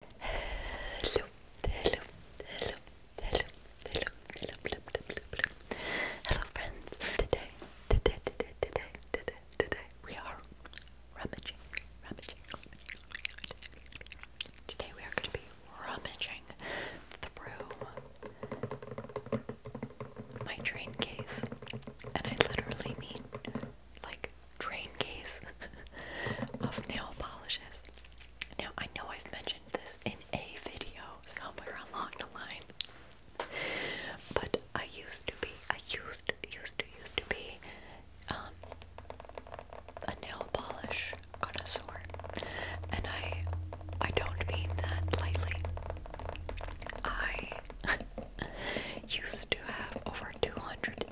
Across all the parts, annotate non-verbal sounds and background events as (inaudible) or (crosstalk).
Hello, hello, hello, hello, hello, hello, hello, hello, hello, friends. Today, today, today, today, today, today, we are rummaging, rummaging, rummaging. Today we are going to be rummaging through my train case, and I literally mean like train case (laughs) of nail polishes. Now, I know I've mentioned this in a video somewhere along the line, but I used to be, I used, used to, used to be um, a nail polish connoisseur, and I, I don't mean that lightly. I (laughs) used to have over 200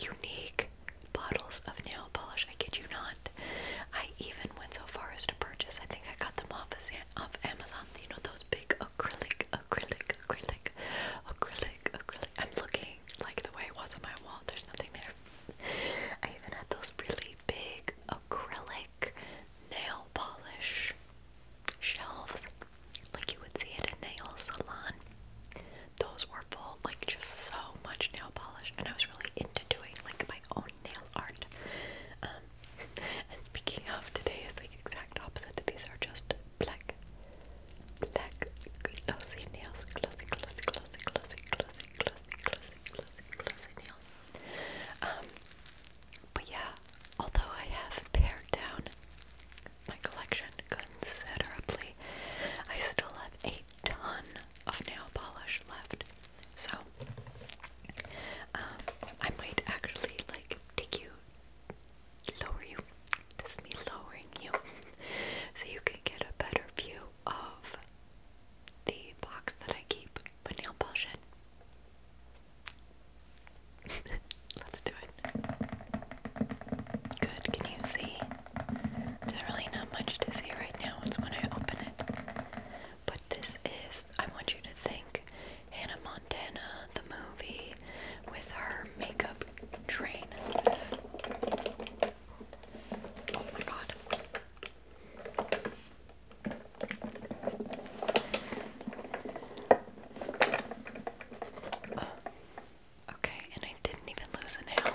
unique bottles of nail polish. I kid you not. I even went so far as to purchase. I think I got them off of Amazon. You know those big acrylic, acrylic, acrylic, acrylic, acrylic. I'm looking like the way it was on my wall. There's nothing there. I even had those really big acrylic nail polish shelves, like you would see at a nail salon those were full like just so much nail polish and I was really into doing like my own nail art um, (laughs) and speaking of today is the exact opposite these are just black black glossy nails glossy glossy glossy glossy glossy glossy glossy glossy nails um but yeah although I have pared down my collection considerably. I still have a ton of nail polish left. So um, I might actually like take you lower you. This is me lowering you (laughs) so you can get a better view of the box that I keep my nail polish in. (laughs) Let's do it. Good, can you see? There's really not much to see right now, it's when I open it. But this is, I want you to think Hannah Montana, the movie, with her makeup train. Oh my god. Okay, and I didn't even lose a nail.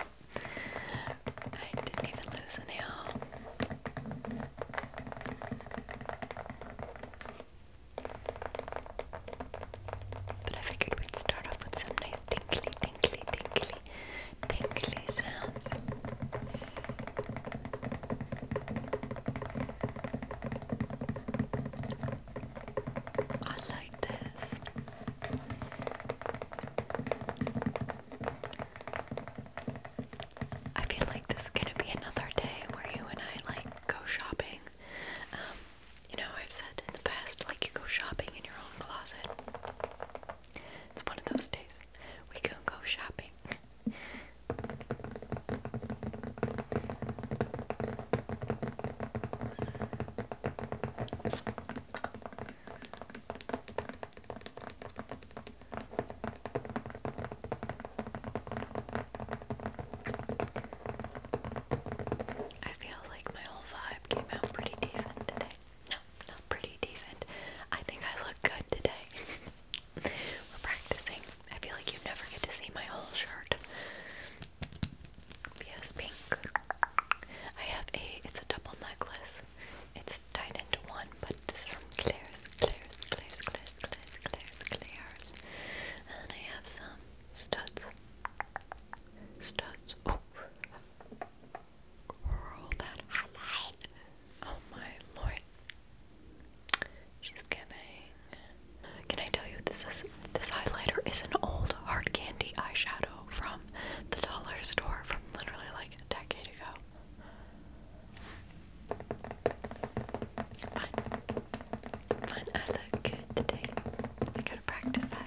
I didn't even lose a nail. But I figured we'd start off with some nice tinkly, tinkly, tinkly, tinkly sounds. I like this. I feel like this is gonna be another day where you and I like go shopping. Um, you know, I've said in the past, like you go shopping in your own closet. It's one of those days. We can go shopping. I feel like my whole vibe came out pretty decent today. No, not pretty decent. I think I look good today. (laughs) We're practicing. I feel like you never get to see my whole shirt. Yes, pink. I have a, it's a double necklace. It's tied into one, but this is from Claire's, Claire's, Claire's, Claire's, Claire's, Claire's, Claire's. And then I have some studs. Studs. Oh. Girl, that highlight. Oh my lord. She's giving. Can I tell you this is this highlighter is an old hard candy eyeshadow from the dollar store from literally like a decade ago. Fun. Fun, I look good today. I gotta practice that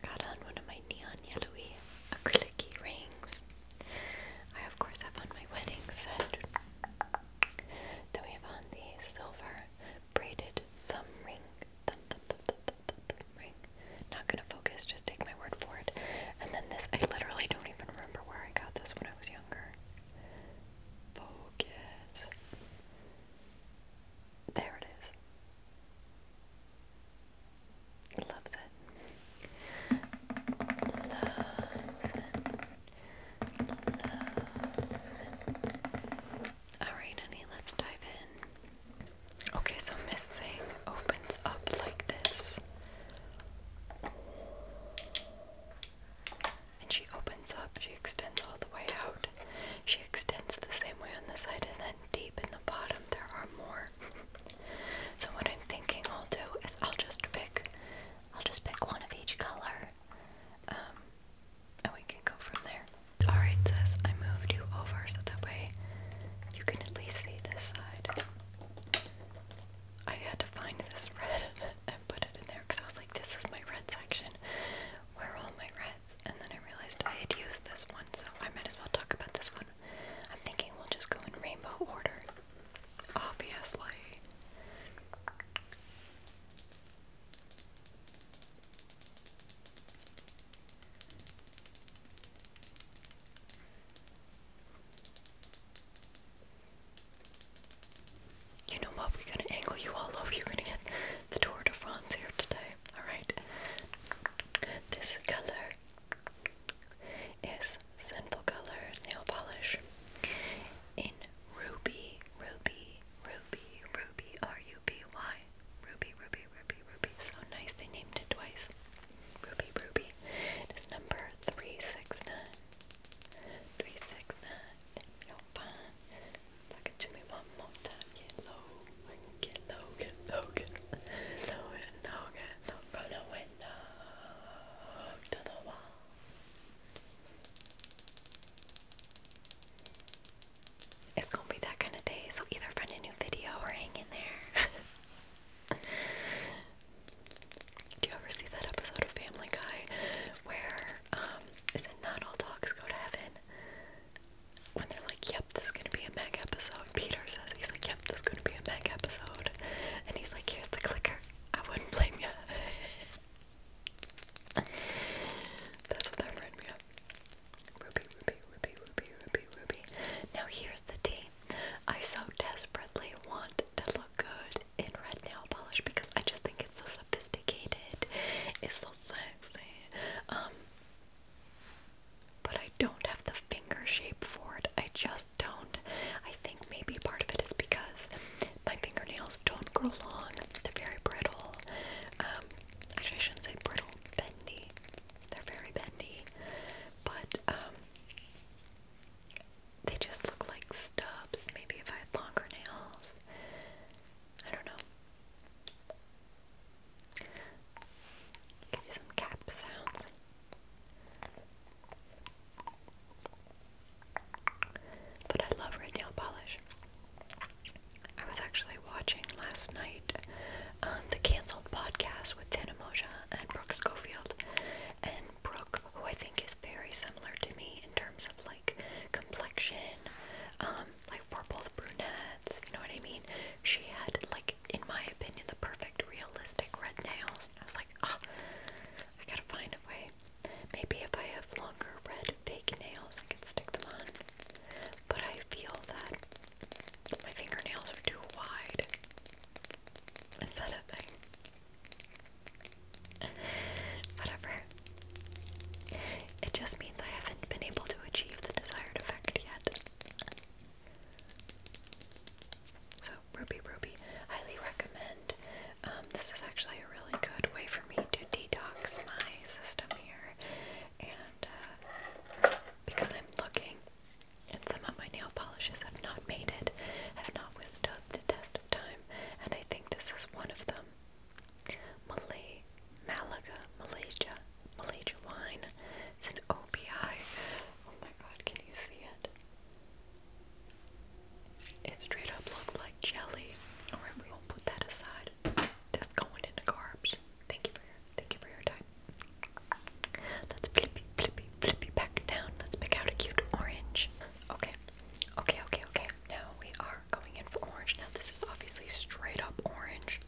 got on one of my neon yellowy acrylic rings. I of course have on my wedding set. Then we have on the silver braided thumb ring. thumb, thumb, thumb, thumb, thumb, thumb ring. Not gonna focus, just take my word for it. And then this, I literally don't even remember where I got this when I was younger. Focus. There it is. Love that. Alright, honey, let's dive in. Okay, so Miss Thing opens up like this. And she opens up, she extends all the way out. She extends the same way on the side, and then deep in the bottom, there are more so what I'm thinking I'll do is I'll just pick I'll just pick one of each color. Um, and we can go from there. Alright sis, I moved you over so that way you can at least see this side. I had to find this red (laughs) and put it in there because I was like, this is my red section. Where all my red and then I realized I had used this one, so I might as well talk about this one. I'm thinking we'll just go in rainbow order. Obviously. You know what? We're gonna angle you all over. You're gonna get the Tour de France here today. Alright? This color is Sinful Colors nail polish in Ruby, Ruby, Ruby, Ruby, R U B Y, Ruby, Ruby, Ruby, Ruby. So nice they named it twice. Ruby, Ruby. It is number 369. 369. No fun. Look at Jimmy one more time get low, I can get low, get low, get low, get low, get low, from the window to the wall. It's gonna be that kind of day, so either find a new video or hang in there. (laughs) Do you ever see that episode of Family Guy where um is it not all dogs go to heaven? when they're like, yep, this is gonna be a mech episode, Peter says, he's like, yep, this is gonna be a mech episode. And he's like, here's the clicker. I wouldn't blame you. That's what that reminded me of. Ruby, Ruby, Ruby, Ruby, Ruby, Ruby. Now here's the tea. I so desperately want to look good in red nail polish because I just think it's so sophisticated. It's so sexy. Um, but I don't have the finger shape for it. I just don't. I think maybe part of it is because my fingernails don't grow long. They're very brittle. Um, actually, I shouldn't say brittle, bendy. They're very bendy. But, um, they just look like stubs. Maybe if I had longer nails. I don't know. Give you some cap sounds. But I love red nail polish. I was actually watching last night um, the canceled podcast with Tina Moja and Brooke Schofield. And Brooke, who I think is very similar to me in terms of like complexion, um, like we're both brunettes, you know what I mean? She had like, in my opinion, the perfect realistic red nails. I was like, ah, I gotta find a way. Maybe if I have longer red fake nails, I can stick them on. But I feel that my fingernails are too wide. Is that a thing? Whatever. It just means I haven't been able to achieve the desired effect yet. So Ruby Ruby, highly recommend. Um, this is actually a really good way for me to detox my system here, and uh, because I'm looking, and some of my nail polishes have not made it, have not withstood the test of time, and I think this is one of them. Malay, Malaga, Malaysia. Malaysia wine. It's an OPI. Oh my god, can you see it? It straight up looks like jelly. Alright, we won't put that aside. That's going into garbage. Thank you for your thank you for your time. Let's flippy flippy flippy back down. Let's pick out a cute orange. Okay. Okay, okay, okay. Now we are going in for orange. Now this is obviously straight up orange.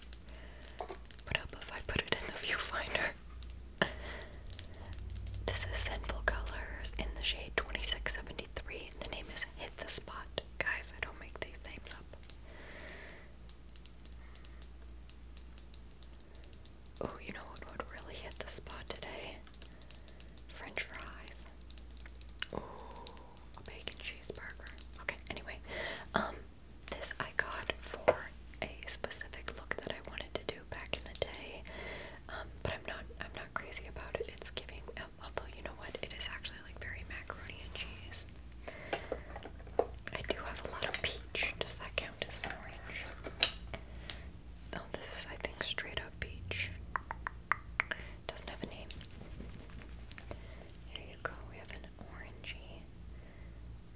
What up if I put it in the viewfinder? this is Sinful Colors in the shade 2673. The name is Hit the Spot. Guys, I don't make these names up. Oh, you know what would really hit the spot today? French fries. Oh, a bacon cheeseburger. Okay, anyway. Um, this I got for a specific look that I wanted to do back in the day, um, but I'm not I'm not crazy about it. It's giving um, although you know what it is actually like very macaroni and cheese. I do have a lot of peach. Does that count as an orange? Oh, this is I think straight up peach. Doesn't have a name. There you go. We have a orangey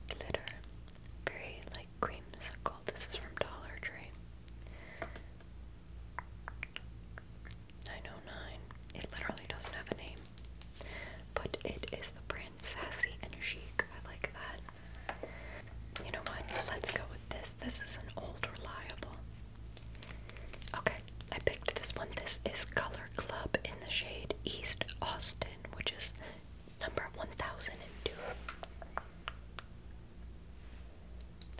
glitter. Very like creamsicle. This is from Dollar Tree. 909. It literally doesn't have a name. But it is the brand and Chic. I like that. You know what? Let's go with this. This is an old reliable. Okay, I picked this one. This is Color Club in the shade East Austin, which is number 1002.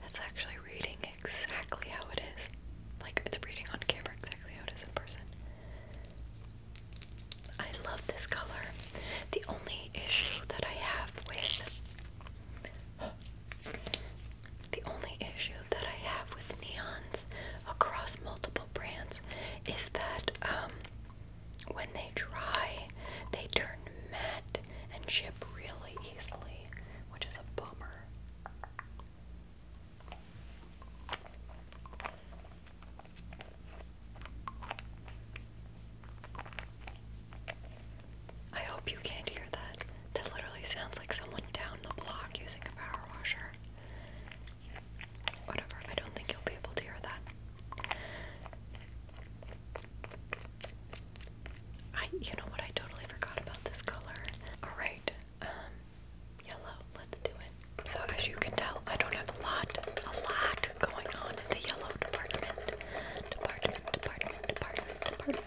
That's actually reading exactly how it is. Like, it's reading on camera exactly how it is in person. I love this color. The only issue that I have with. (gasps) The only issue that I have with neons across multiple brands is that um, when they dry, they turn matte and chip really easily, which is a bummer. I hope you can't hear that. That literally sounds like someone down the block using a power washer. Whatever, I don't think you'll be able to hear that. I, you know what, I totally forgot about this color. Alright, um, yellow, let's do it. So as you can tell, I don't have a lot, a lot going on in the yellow department. Department, department, department, department.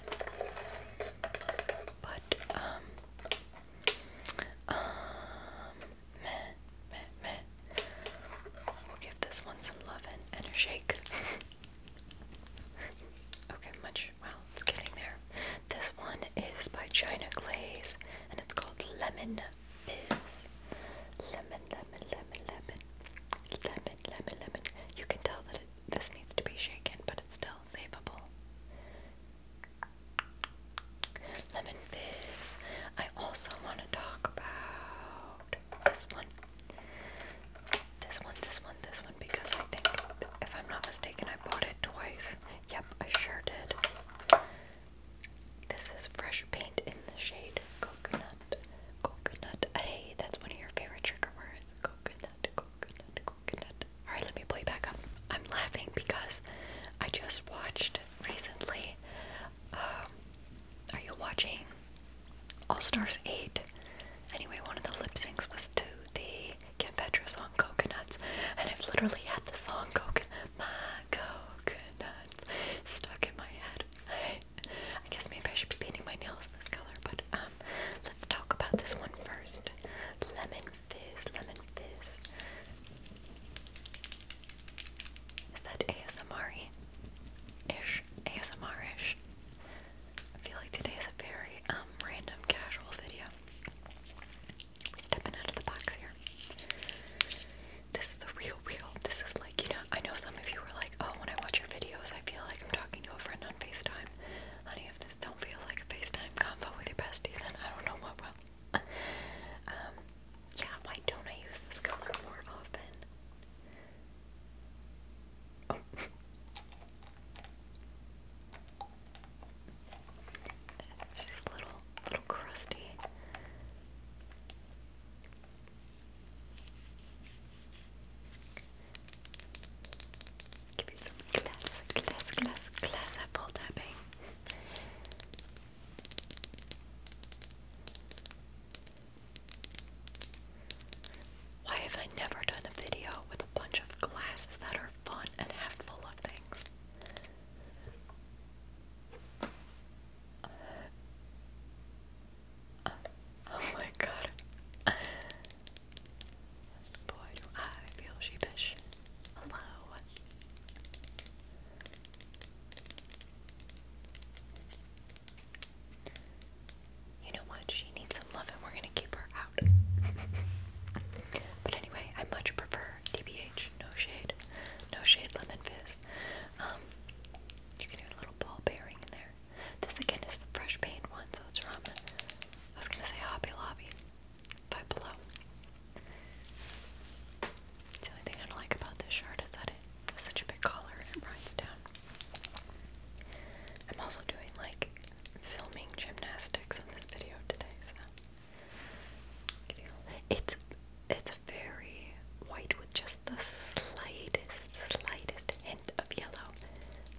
But, um, um, we'll give this one some love and, and a shake. (laughs) okay, much. Well, it's getting there. This one is by China Glaze, and it's called Lemon Fizz. Lemon, lemon, lemon, lemon. Lemon, lemon, You can tell that this needs to be shaken, but it's still savable. Lemon fizz. I also want to talk about this one. This one, this one, this one, because I think, if I'm not mistaken, I bought it twice. Yep, I sure did. This is fresh paint in the shade coconut. Coconut. Hey, that's one of your favorite trigger words. Coconut, coconut, coconut. Alright, let me pull you back up. I'm laughing because I just watched recently. Um, are you watching All Stars 8? Anyway, one of the lip syncs was to the Kim Petra song Coconuts, and I've literally had the song Coconut, My Coconuts, stuck in my head. I guess maybe I should be painting my nails this color, but um, let's talk about this one first. Lemon fizz, lemon fizz. Is that asmr Ish, ASMR-ish. I feel like today is a very um random casual video. Stepping out of the box here. This is the real real. This is like, you know, I know some of you were like, oh, when I watch your videos, I feel like I'm talking to a friend on FaceTime. Honey, if this don't feel like a FaceTime combo with your bestie, then I don't know what will. (laughs) Um, yeah, why don't I use this color more often? Oh. (laughs) She's little, little crusty. Give you some glass, glass, glass, glass apple tapping. Why have I never done a video with a bunch of glasses that are fun and have full of things? oh my god. Boy, do I feel sheepish. Hello. You know what? She needs some love, and we're gonna keep her out. (laughs) but anyway, I much prefer DBH. No shade, no shade. Lemon fizz. Um, you can do a little ball bearing in there. This again is the fresh paint one, so it's from. I was gonna say Hobby Lobby. Pueblo. The thing I don't like about this shirt is that it has such a big collar and it runs down. I'm also doing like filming gymnastics in this video today, so it's it's very white with just the slightest, slightest hint of yellow.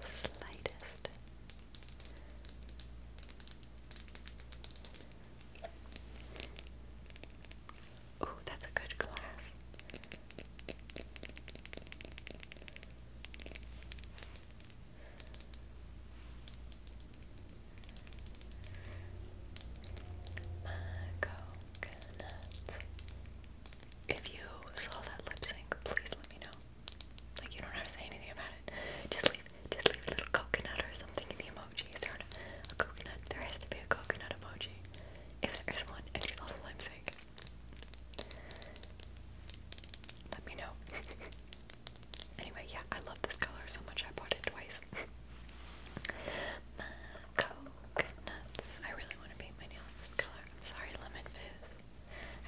Slightest. Oh, that's a good class. My If you saw that lip sync, please let me know. Like, you don't have to say anything about it. Just leave, just leave a little coconut or something in the emoji. Is a, coconut? There has to be a coconut emoji. If there is one, and it's also lipstick. Let me know. (laughs) anyway, yeah, I love this color so much. I bought it twice. (laughs) coconuts. I really want to paint my nails this color. sorry, Lemon Fizz.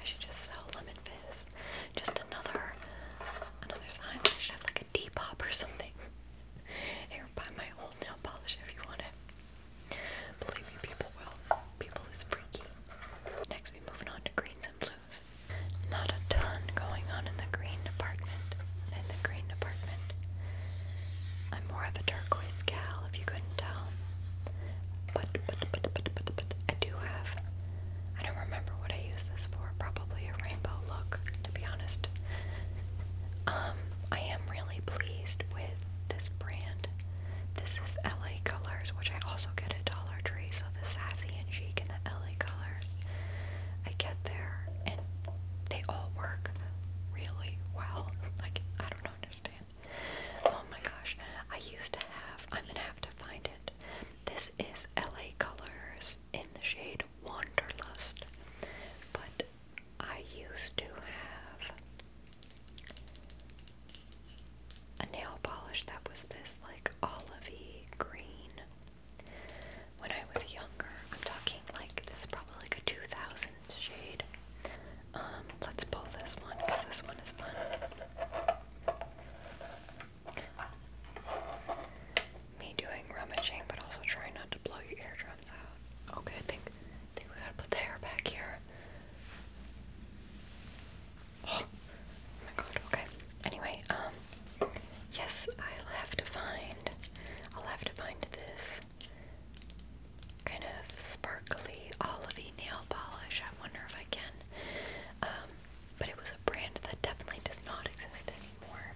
I should just sell lemon fizz. Just another another sign. I should have like a Depop or something. (laughs) Here, buy my old nail polish if you want it. Believe me, people will. People is freaky. Next, we moving on to greens and blues. Not a ton going on in the green department. In the green department, I'm more of a turquoise gal, if you couldn't tell. But but but but but, but I do have I don't remember what I used this for. Probably a rainbow look, to be honest. Um, I am really pleased with this brand. This is LA Colors, which I also get at Dollar Tree. So the Sassy and Chic and the LA Colors, I get there, and they all work really well. (laughs) Like I don't understand. Oh my gosh, I used to have. I'm gonna have to find it. This is LA Colors in the shade Wanderlust, but I used to have a nail polish that was this like olivey green when I was younger. I'm talking like this is probably like a 2000 shade. Um, let's pull this one because this one is fun. Me doing rummaging, but also trying not to blow your eardrums out. Okay, I think, think we gotta put the hair back here. (gasps) oh my god, okay. Anyway, um, yes, I'll have to find, I'll have to find this kind of sparkly, olivey nail polish. I wonder if I can um, but it was a brand that definitely does not exist anymore.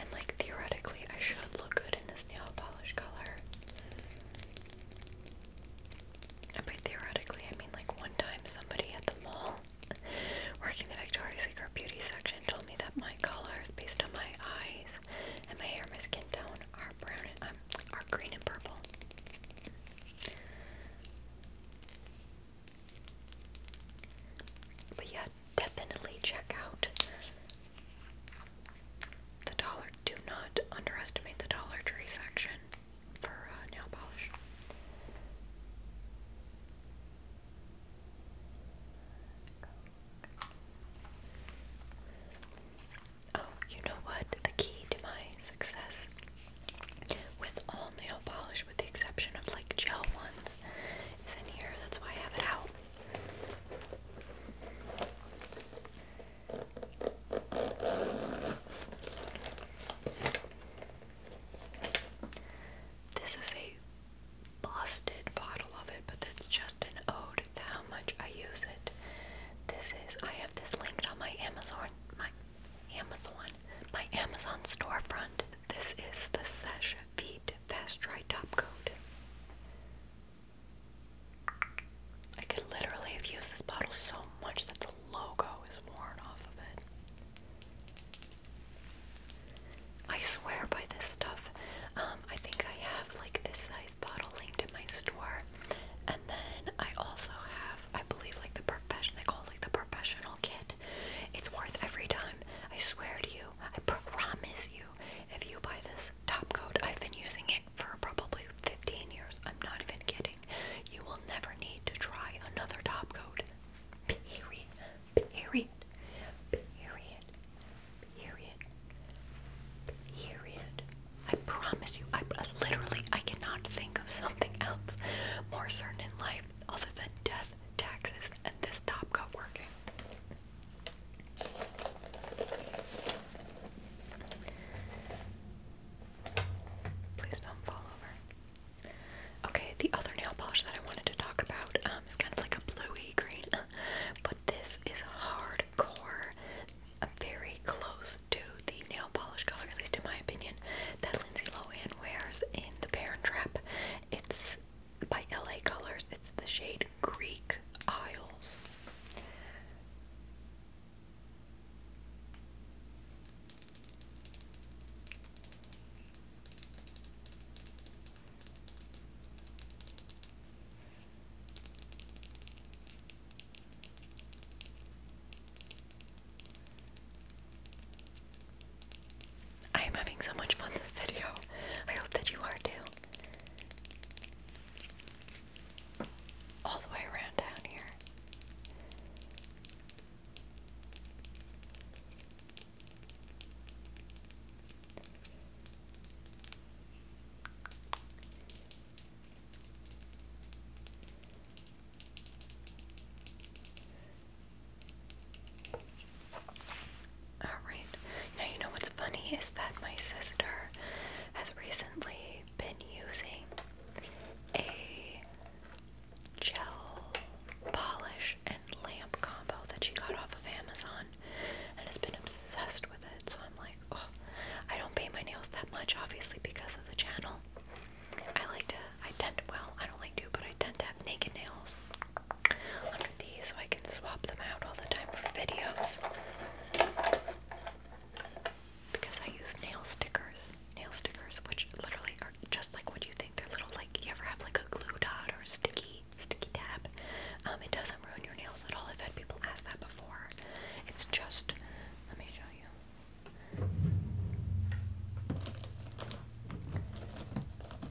and like theoretically, I should look good in this nail polish color. And by theoretically, I mean like one time somebody at the mall Working the Victoria's Secret beauty section told me that my colors, based on my eyes and my hair, my skin tone, are brown and um, are green and purple. But yeah, definitely check out the dollar. Do not underestimate the Dollar Tree section for uh, nail polish. Oh, you know what? The key to my success with all nail polish, with the exception of like gel ones, is in here. That's why I have it out. This is a busted bottle of it, but that's just an ode to how much I use it. This is I have this linked on my Amazon my Amazon my Amazon storefront. This is the Sesh Feet Fast Dry Top Coat. I could literally have used this bottle so much that the logo is worn off of it. I swear by this stuff. Um, I think I have like this size bottle linked in my store, and then I also have, I believe, like the professional. They like the professional kit. It's worth every dime. I swear to you. I promise you. If you buy this top coat, I've been using it for probably 15 years. I'm not even kidding. You will never need to try another top coat. Period period, period, period, period. I promise you, I literally I cannot think of something else more certain in life other than death, taxes, and this top got working. Please don't fall over. Okay, the other nail polish that I wanted to talk about um, is kind of like a bluey green, (laughs) but this is hardcore, very close to the nail polish color, at least in my opinion, that Lindsay Lohan wears in The Parent Trap. It's by LA Colors, it's the shade Greek Isles. I am having so much fun this video. I hope that you are too. All the way around down here. All right. Now, you know what's funny is that my sister has recently been using a gel polish and lamp combo that she got off of Amazon and has been obsessed with it. So I'm like, oh, I don't paint my nails that much, obviously, because of the channel. I like to, I tend to, well, I don't like to, but I tend to have naked nails under these so I can swap them out all the time for videos. Because I use nail stickers, nail stickers, which literally are just like what you think they're little like you ever have like a glue dot or sticky sticky tab. Um, it doesn't ruin your nails at all. I've had people ask that before. It's just let me show you.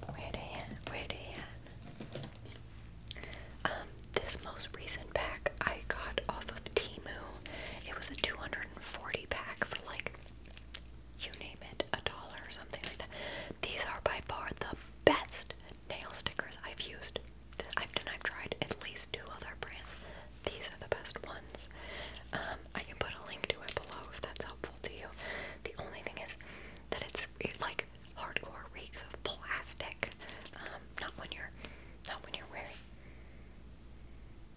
Where they Where they this most recent pack I got off of Timu. It was a 240 pack for like you name it, a dollar or something like that. These are by far the best nail stickers I've used. I've done. I've tried at least two other brands. These are the best ones. Um, I can put a link to it below if that's helpful to you. The only thing is that it's like hardcore reeks of plastic. Um, not when you're, not when you're wearing,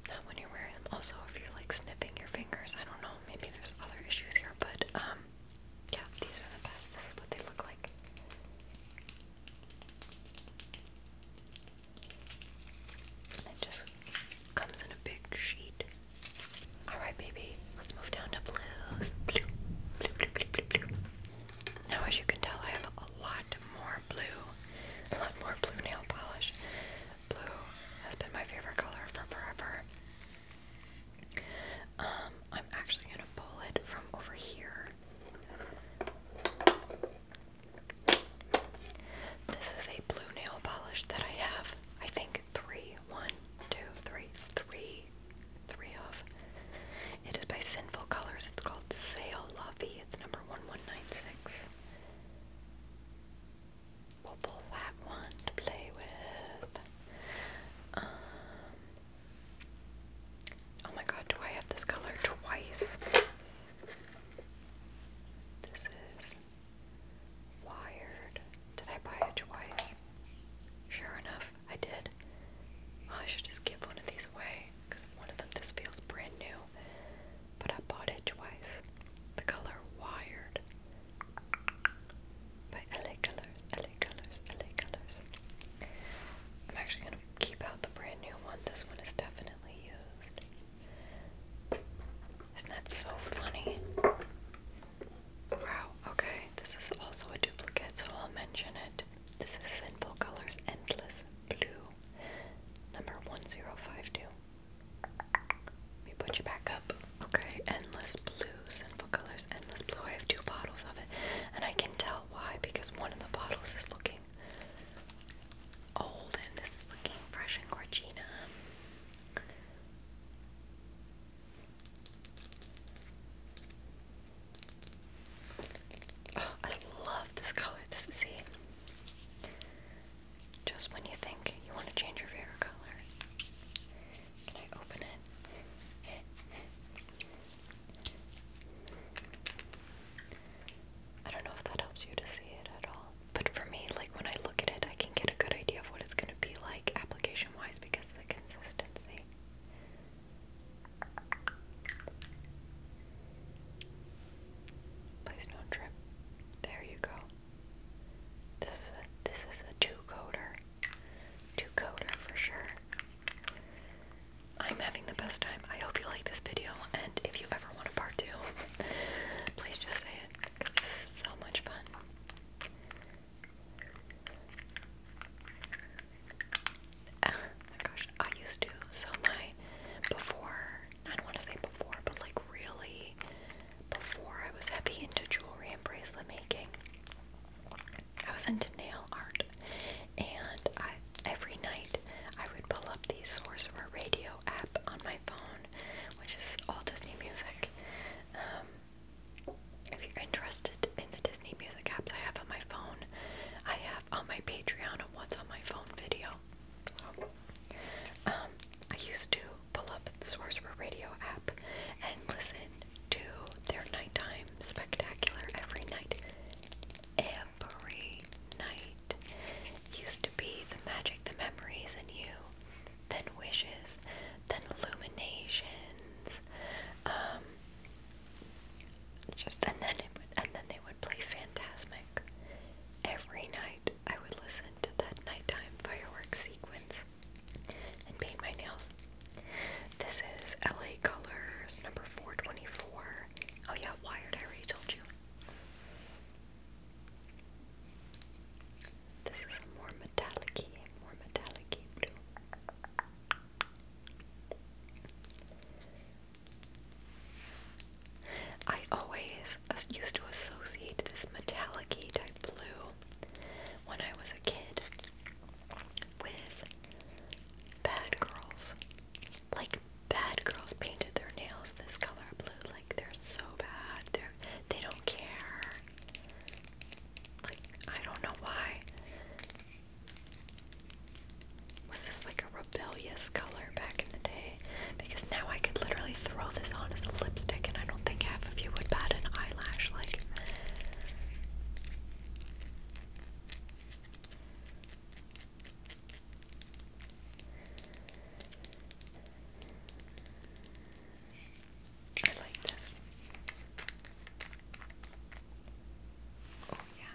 not when you're wearing them. Also, if you're like sniffing your fingers, I don't know maybe there's other issues here, but um, yeah, these are the best. This is what they look like. it just comes in a big sheet. Alright, baby, let's move down to blues. Blue, blue, blue, blue, blue, blue. Now, as you can tell, I have a lot more blue, a lot more blue nail polish Blue has been my favorite color for forever. Um, I'm actually gonna pull it from over here. This is a blue nail polish that I have, I think, three, one, two, three, three, three of. It is by Sinful Colors. It's called Sail Lovey. It's number 1196 purple white one to play with. Um, oh my god, do I have this color twice? This is wired. Did I buy it twice? Sure enough, I did. Oh, I should just give one of these away because one of them this feels brand new. But I bought it twice. The color wired by LA Colors, LA Colors, LA Colors. I'm actually gonna keep out the brand new one. This one is definitely used. Isn't that so funny? Wow, okay, this is also a duplicate, so I'll mention it. This is Simple Colors Endless Blue, number 1052. Let me put you back up. Okay, endless blue, sinful colors, endless blue. I have two bottles of it, and I can tell why because one of the bottles is looking old, and this is looking fresh and Gorgina. Oh, I love this color. This is see. Just when you think you want to change your hair color. Can I open it? I don't know if that helps you to see it at all. But for me, like when I look at it, I can get a good idea of what it's going to be like application wise because of the consistency. Please don't trip. There you go. This is a, this is a 2 coder, 2 coder for sure. I'm having the best time. I hope you like this video, and if you ever want a part two, (laughs) please just say it, because this so much fun. Oh my gosh, I used to, so my, before, I don't want to say before, but like really before I was heavy into jewelry and bracelet making, I was into nail art, and I every night I would pull up the Sorcerer Radio app on my phone, which is all Disney music. Um, if you're interested in the Disney music apps I have on my phone, I have on my Patreon a "What's on My Phone" video. Um, I used to pull up the Sorcerer Radio app and listen to their nighttime spectacular every night. Every night. Used to be the magic, the memories, and you. Then wishes. Then illuminations. Um, just and then it would, and then they would play Fantasmic every night. I would listen that nighttime fireworks sequence and paint my nails. This is LA Colors number 424. Oh, yeah, wired, I already told you. This is more metallic more metallic blue. I always used to associate this metallic type blue when I was a kid with bad girls. Like bad girls painted their nails this color blue. Like they're so bad. They're they they do not care. Like I don't know why. Was this like a rebellious color back in the day? because now I could literally throw this on as a lipstick and I don't think half of you would bat an eyelash like I like this. Oh yeah.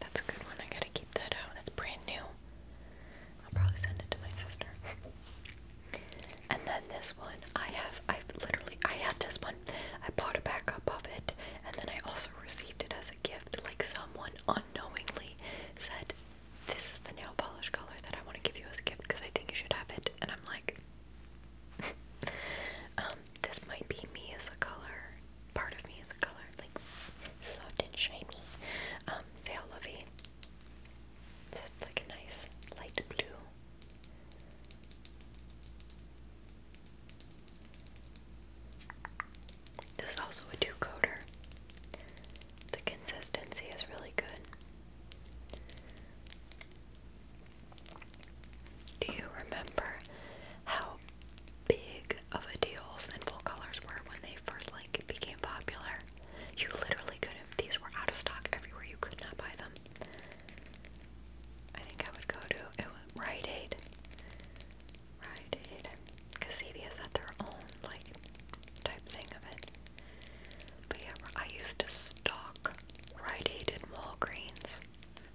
That's a good one. I gotta keep that out. that's brand new. I'll probably send it to my sister. and then this one, I have. I've literally. I had this one. I bought a backup of it, and then I also received it as a gift. Like someone unknowingly said, "This is the nail polish color that I want to give you as a gift because I think you should have it." And I'm like, um, this might be me as a color. Part of me is a color, like soft and shiny. Um, Veil Lovey. It's like a nice light blue. This is also a two coater. The consistency is really good. Do you remember how big of a deal Sinful Colors were when they first like became popular? You literally couldn't. These were out of stock everywhere. You could not buy them. I think I would go to Rite Aid. Rite Aid, because CVS had their own like type thing of it. I used to stock Rite Aid and Walgreens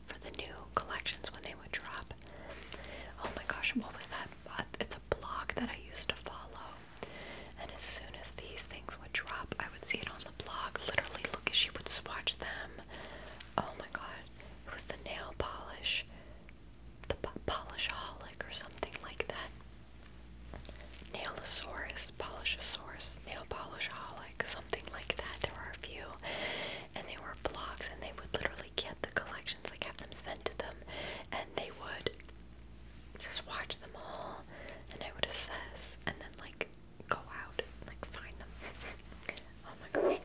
for the new collections when they would drop. Oh my gosh, what was that? It's a blog that I used to follow. And as soon as these things would drop, I would see it on the blog. Literally, look as she would swatch them. Oh my god, it was the nail polish, the polish holic or something like that. Nailosaurus, Polishosaurus, Nail Polishaholic, something like that. There were a few. And they were blogs, and they would literally get the collections, like have them sent to them, and they would just watch them all, and I would assess, and then like go out and like find them. (laughs) oh my gosh,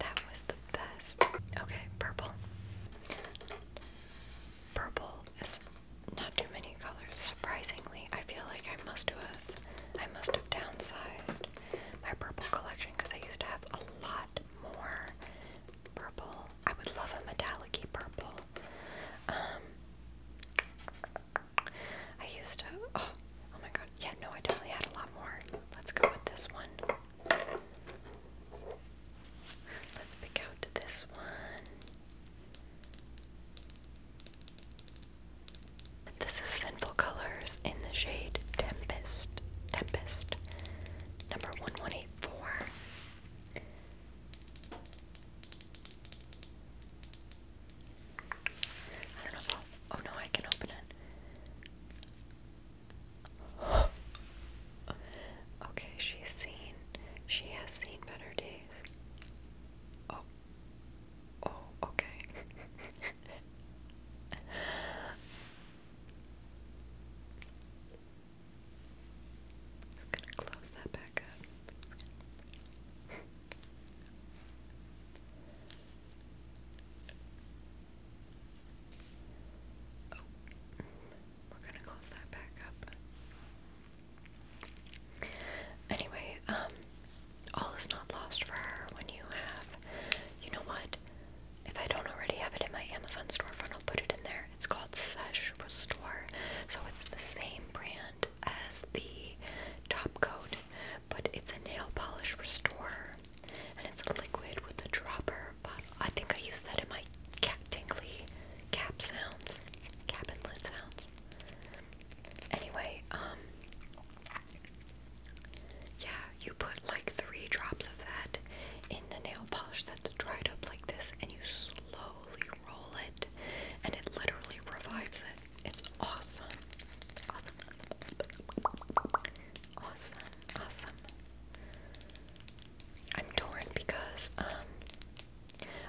that was the best. Okay, purple. Purple is not too many colors, surprisingly. I feel like I must have, I must have downsized my purple collection because I used to have a lot more purple. I would love a metallic purple. Um, I used to, oh, oh my god, yeah, no, I definitely had a lot more. Let's go with this one. Let's pick out this one. This is Sinful Colors in the shade Tempest. Tempest. Number 1184. I don't know if oh no, I can open it. (gasps) okay, she's seen, she has seen better days. Oh, Oh, okay. I'm gonna close that back up. Oh, we're gonna close that back up. Anyway, um, all is not lost for her when you have, you know what? If I don't already have it in my Amazon storefront, I'll put it in there. It's called Sesh Restore, so it's the same brand as the top coat, but it's a nail polish restorer, and it's a liquid with a dropper. But I think I used that in my cat tingly cap sounds, cap and lid sounds. Anyway, um, yeah, you put like three drops of that in the nail polish that's dried up like this, and you slowly roll it, and it literally revives it. It's awesome. Awesome. Awesome. Awesome. I'm torn because, um,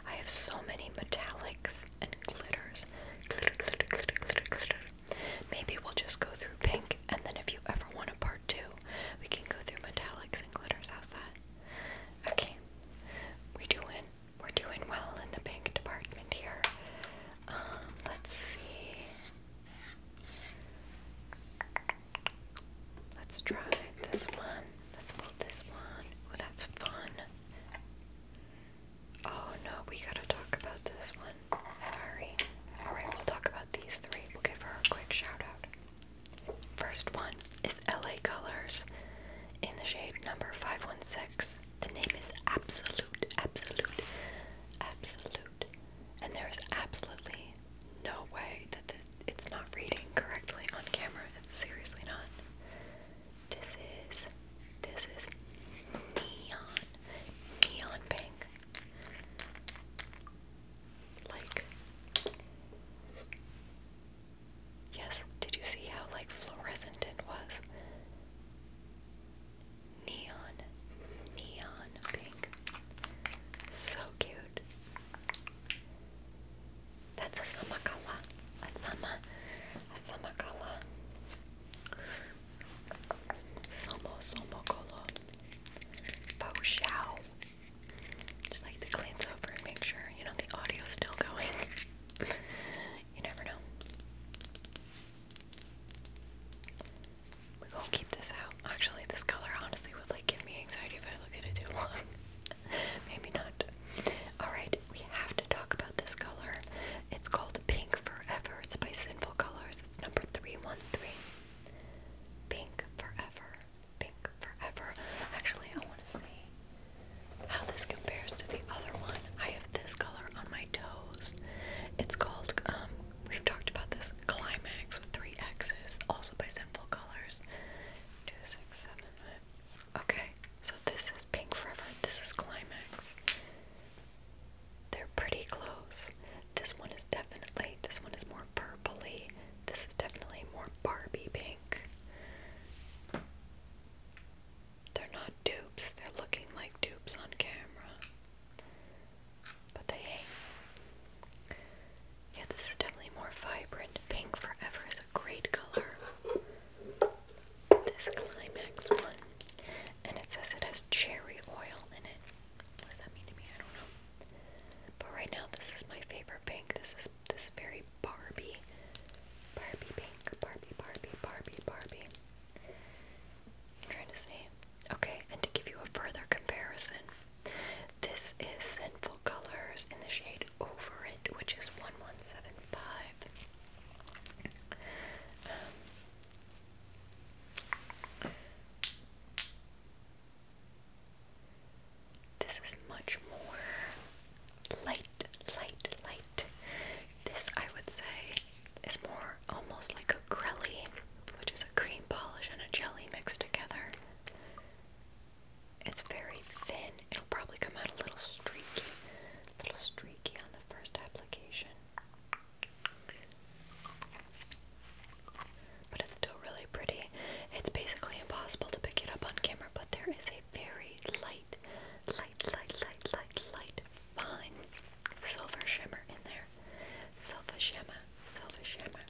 I have so many metallics and glitters. Maybe we'll just go through pink, and then if you ever want a part two, we can go through metallics and glitters. How's that? Okay, we doing we're doing well in the pink department here. Um, let's see. Let's try this one. Let's pull this one. Oh, that's fun. Oh no, we gotta talk about this one. Sorry. Alright, we'll talk about these three. We'll give her a quick shout out. First one is LA Colors in the shade number 516. The name is Absolute, Absolute, Absolute. And there is absolutely no way that it's not reading correctly on camera. It's seriously not. This is this is neon neon pink. Like Yes, did you see how like fluorescent it was? Neon neon pink. So cute. That's a samakala. A sama. A samakala. Somo somokolo. Fo shao. Just like to glance over and make sure, you know, the audio's still going. (laughs) you never know. We're going keep this out. Actually, this color honestly would like give me anxiety if I looked at it too long. (laughs) Maybe not. Alright, we have to talk about this color. It's called Pink Forever. It's by Sinful Colors. It's number 313. Pink Forever. Pink Forever. Actually, I want to see how this compares to the other one. I have this color on my toes. It's called, um, we've talked about this, Climax with three X's, also by Sinful Colors. Two, six, seven, eight. Okay, so this is Pink Forever. This is Climax. They're pretty close. This one is definitely, this one is more purpley. This is definitely more Barbie pink. They're not dupes, they're looking like dupes on camera. But they Yeah, this is definitely more vibrant. Pink Forever is a great color this Climax one, and it says it has cherry oil in it. What does that mean to me? I don't know. But right now, this is my favorite pink. This is this very Barbie, Barbie pink, Barbie, Barbie, Barbie, Barbie. I'm trying to see. Okay, and to give you a further comparison, this is sent Colors in the shade Over It, which is 1175. Um, this is much more light, light, light. This, I would say, is more almost like a grelly, which is a cream polish and a jelly mixed together. It's very thin. It'll probably come out a little streaky. little streaky on the first application. But it's still really pretty. It's basically impossible to pick it up on camera, but there is a very light, light, light, light, light, fine silver shimmer in there. Silver shimmer, silver shimmer,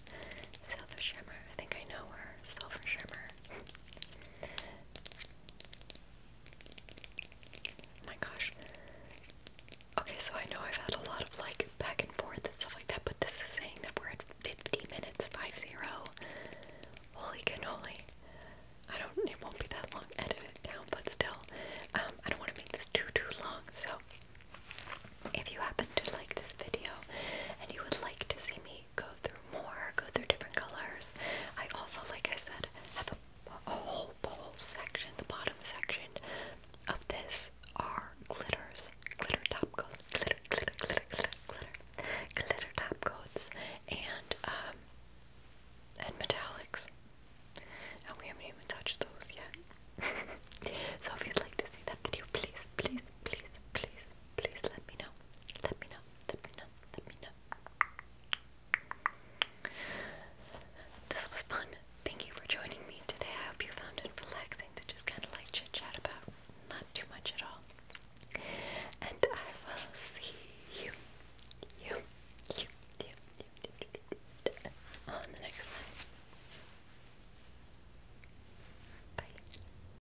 silver shimmer. I think I know where Silver shimmer oh my gosh. Okay, so I know I've had a lot of like back and forth and stuff like that, but this is saying that we're at 50 minutes, 5 Holy cannoli. I don't, it won't be that long. Edit it down, but still, um, I don't want to make this too, too long. So, if you happen to like this video and you would like to see me go through more, go through different colors. I also, like I said, have a, whole, the whole section, the bottom section of this are glitters, glitter top coats, glitter, glitter, glitter, glitter, glitter, glitter top coats, and um, and metallics. And we haven't even touched those yet. (laughs) so if you'd like to see that video, please, please, please, please, please let me know. Let me know. Let me know. Let me know. This was fun. Thank you for joining me today. I hope you found it relaxing to just kind of like chit chat about not too much at all. And I will see you, you, you, you, you, on the next one. Bye.